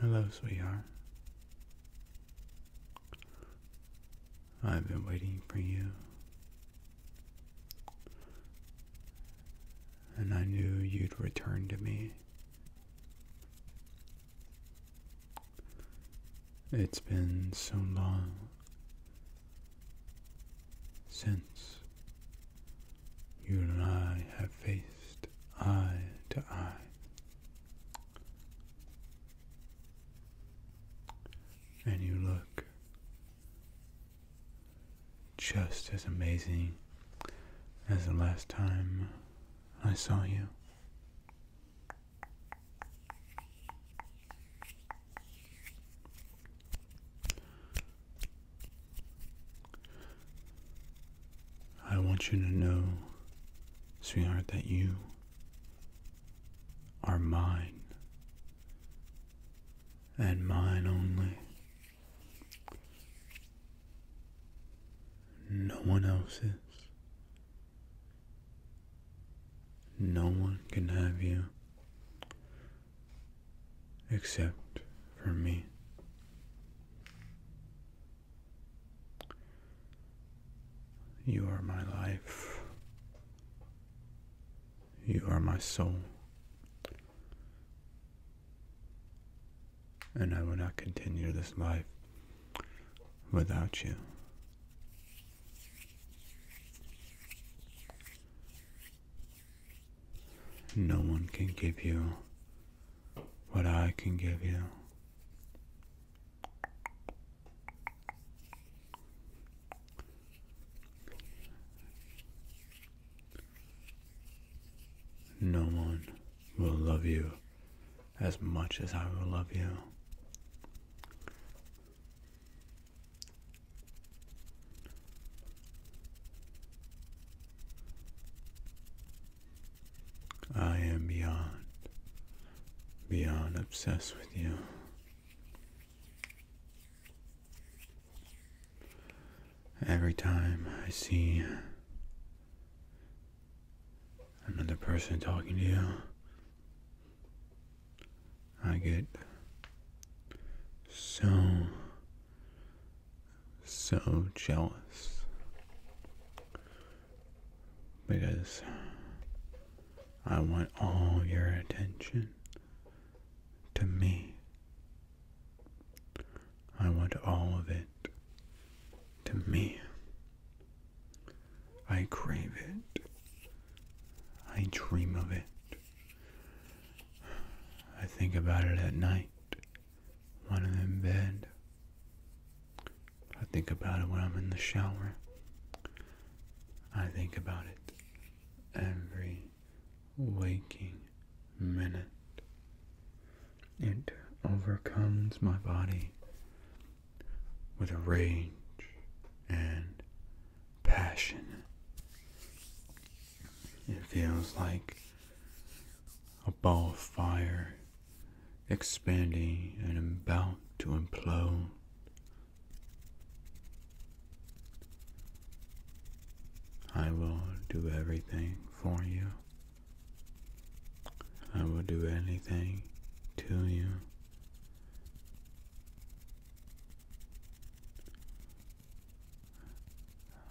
Hello, sweetheart. I've been waiting for you. And I knew you'd return to me. It's been so long since you and I have faced eye to eye. And you look just as amazing as the last time I saw you. I want you to know, sweetheart, that you are mine and mine only. No one else's. No one can have you except for me. You are my life. You are my soul. And I will not continue this life without you. No one can give you what I can give you. No one will love you as much as I will love you. I am beyond, beyond obsessed with you. Every time I see another person talking to you, I get so so jealous because I want all your attention to me. I want all of it to me. I crave it. I dream of it. I think about it at night one of them bed. I think about it when I'm in the shower. I think about it every waking minute. It overcomes my body with a rage and passion. It feels like a ball of fire expanding and about to implode. I will do everything for you. I will do anything to you.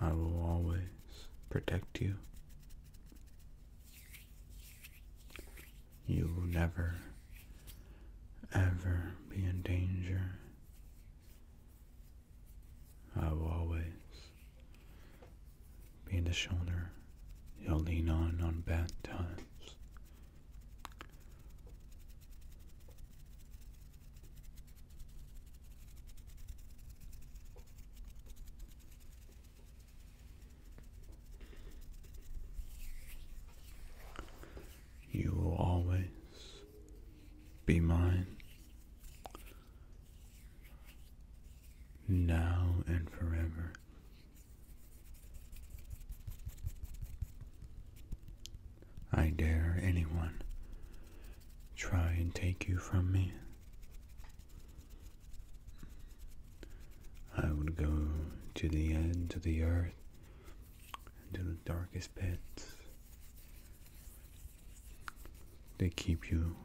I will always protect you. You will never, ever be in danger. I will always be the shoulder you'll lean on on bad times. You will always be mine now and forever. I dare anyone try and take you from me. I would go to the end of the earth, to the darkest pits. They keep you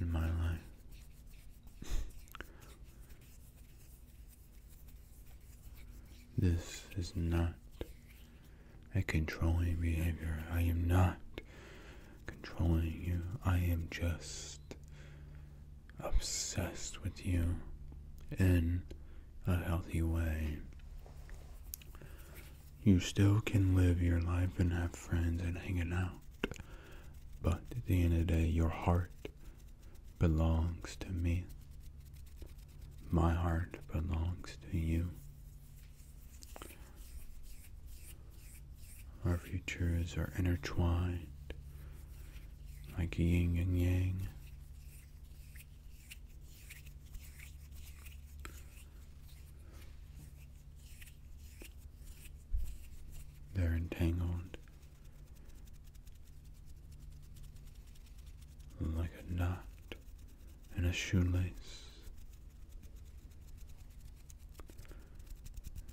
in my life. this is not a controlling behavior. I am not controlling you. I am just obsessed with you in a healthy way. You still can live your life and have friends and hanging out, but at the end of the day, your heart belongs to me. My heart belongs to you. Our futures are intertwined like yin and yang. They're entangled like a knot in a shoelace.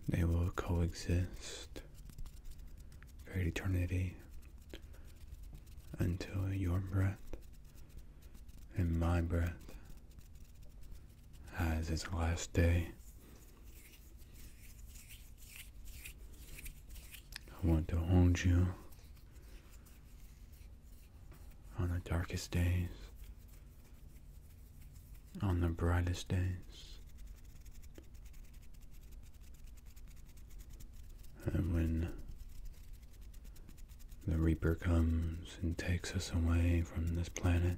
They will coexist for eternity until your breath and my breath has its last day. I want to hold you on the darkest days, on the brightest days. And when the Reaper comes and takes us away from this planet,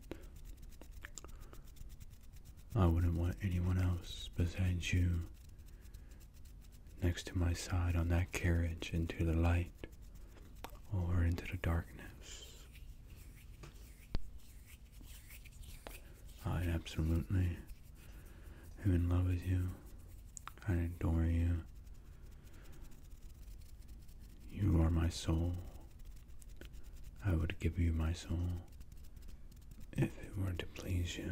I wouldn't want anyone else besides you next to my side on that carriage into the light or into the darkness. I absolutely am in love with you. I adore you. You are my soul. I would give you my soul if it were to please you.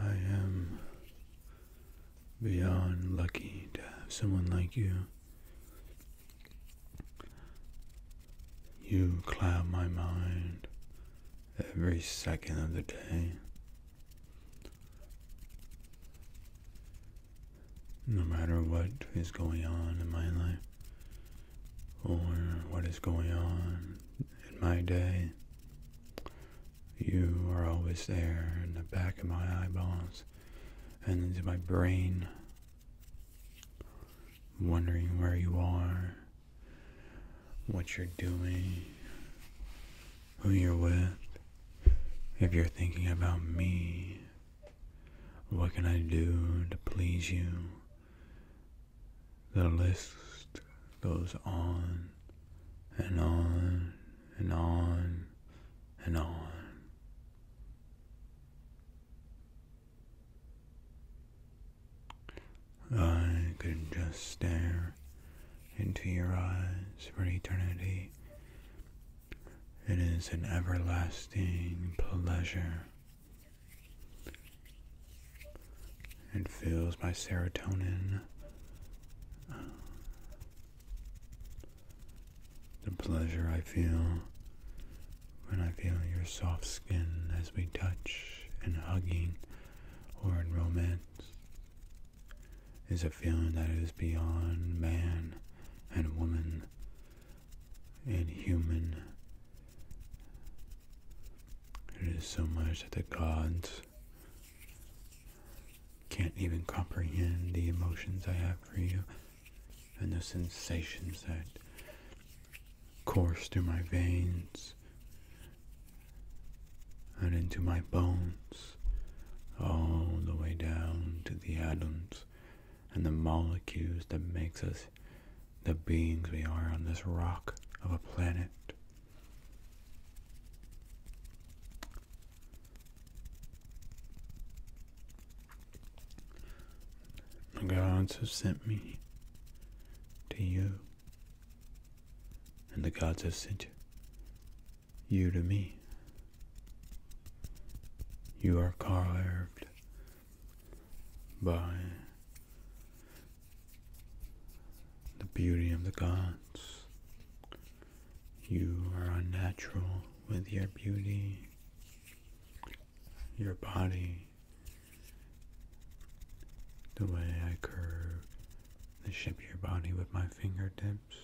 I am beyond lucky to have someone like you. You cloud my mind every second of the day. No matter what is going on in my life, or what is going on in my day. You are always there in the back of my eyeballs and into my brain, wondering where you are, what you're doing, who you're with, if you're thinking about me, what can I do to please you? The list goes on and on and on and on. I could just stare into your eyes for eternity. It is an everlasting pleasure it fills my serotonin, the pleasure I feel when I feel your soft skin as we touch and hugging or in romance is a feeling that is beyond man and woman in There is so much that the gods can't even comprehend the emotions I have for you and the sensations that course through my veins and into my bones all the way down to the atoms and the molecules that makes us the beings we are on this rock of a planet. The gods have sent me to you, and the gods have sent you to me. You are carved by the beauty of the gods. You are unnatural with your beauty, your body, the way I curve the shape of your body with my fingertips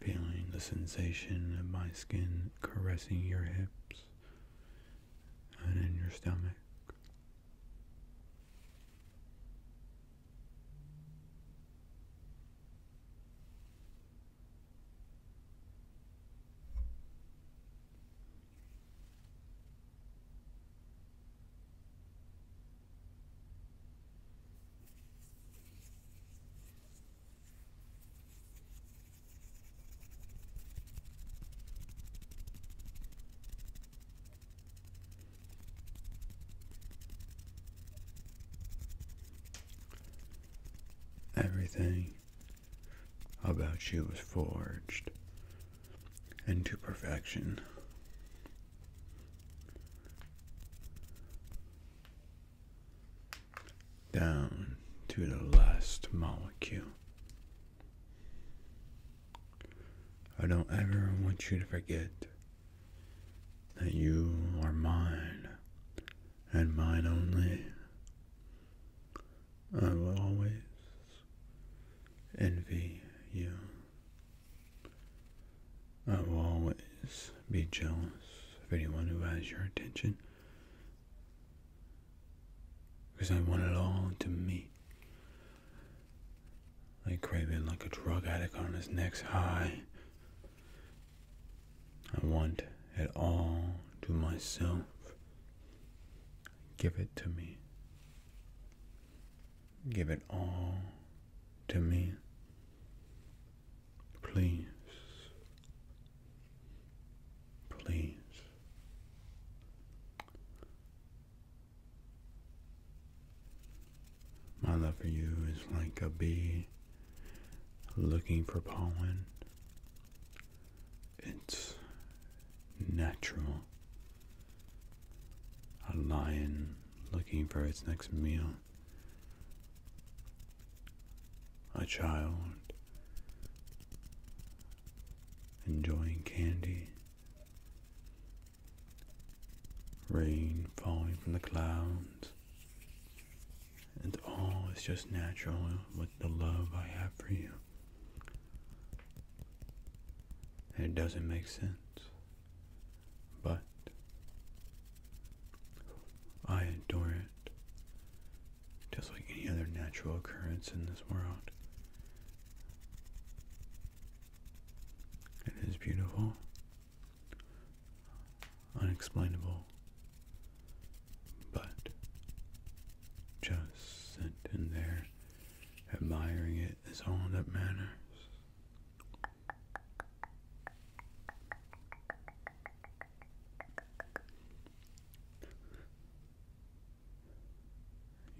feeling the sensation of my skin caressing your hips and in your stomach. Everything about you was forged into perfection down to the last molecule. I don't ever want you to forget that you are mine and mine only. I will always envy you. I will always be jealous of anyone who has your attention. Because I want it all to me. I crave it like a drug addict on his next high. I want it all to myself. Give it to me. Give it all to me. Please, please. My love for you is like a bee looking for pollen. It's natural. A lion looking for its next meal a child enjoying candy, rain falling from the clouds, and all is just natural with the love I have for you. it doesn't make sense but I adore it just like any other natural occurrence in this world. It is beautiful, unexplainable, but just sitting there admiring it is all that matters.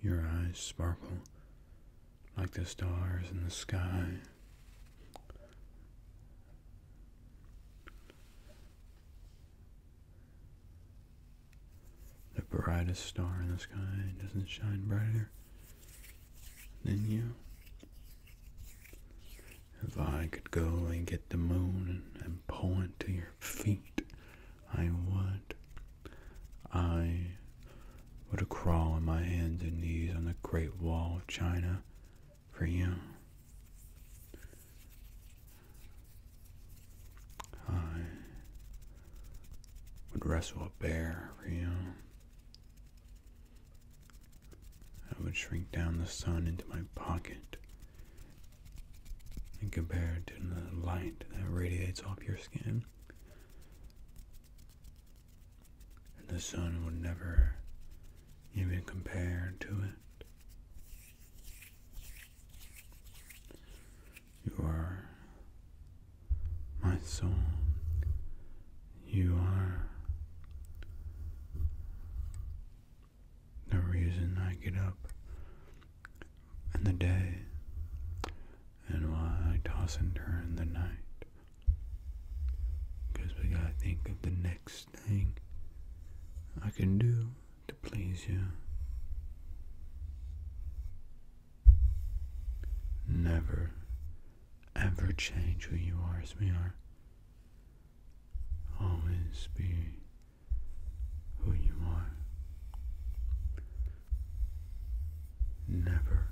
Your eyes sparkle like the stars in the sky. The brightest star in the sky doesn't shine brighter than you. If I could go and get the moon and point to your feet, I would. I would crawl on my hands and knees on the Great Wall of China for you. I would wrestle a bear for you. I would shrink down the sun into my pocket and compare it to the light that radiates off your skin. And the sun would never even compare to it. You are my song, you are. The reason I get up in the day and why I toss and turn in the night. Because we gotta think of the next thing I can do to please you. Never ever change who you are, as we are. Always be who you are. Never,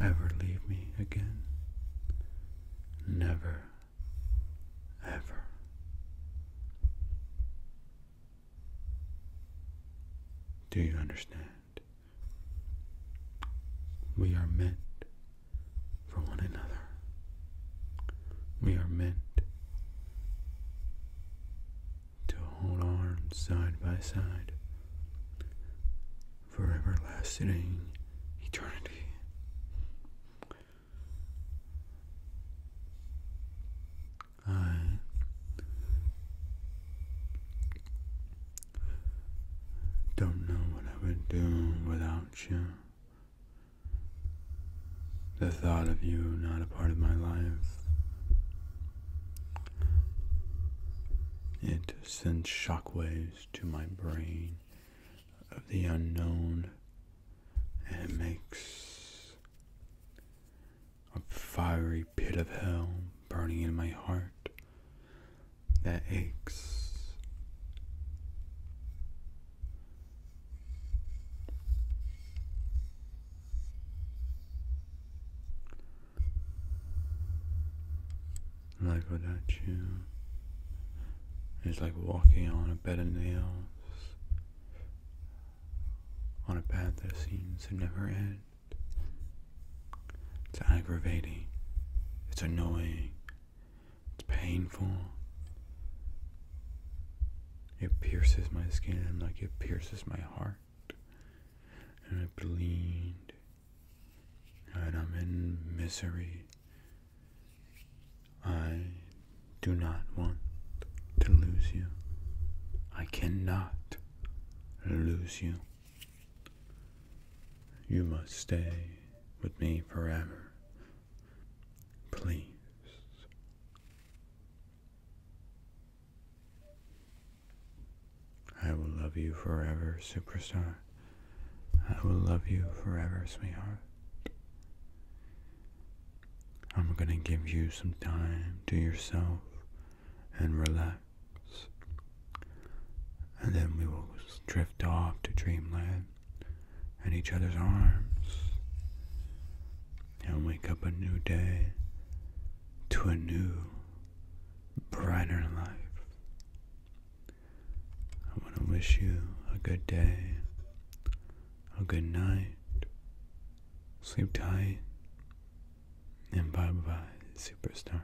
ever leave me again. Never, ever. Do you understand? We are meant for one another. We are meant to hold arms side by side for everlasting eternity. I don't know what I would do without you. The thought of you not a part of my life. It sends shockwaves to my brain of the unknown and it makes a fiery pit of hell burning in my heart that aches. Life without you it's like walking on a bed of nails, on a path that seems to never end. It's aggravating, it's annoying, it's painful. It pierces my skin like it pierces my heart. And I bleed. And I'm in misery. I do not want to lose you. I cannot lose you. You must stay with me forever. Please. I will love you forever, superstar. I will love you forever, sweetheart. I'm gonna give you some time to yourself and relax. And then we will drift off to dreamland and each other's arms and wake up a new day to a new, brighter life. I want to wish you a good day, a good night, sleep tight, and bye bye, superstar.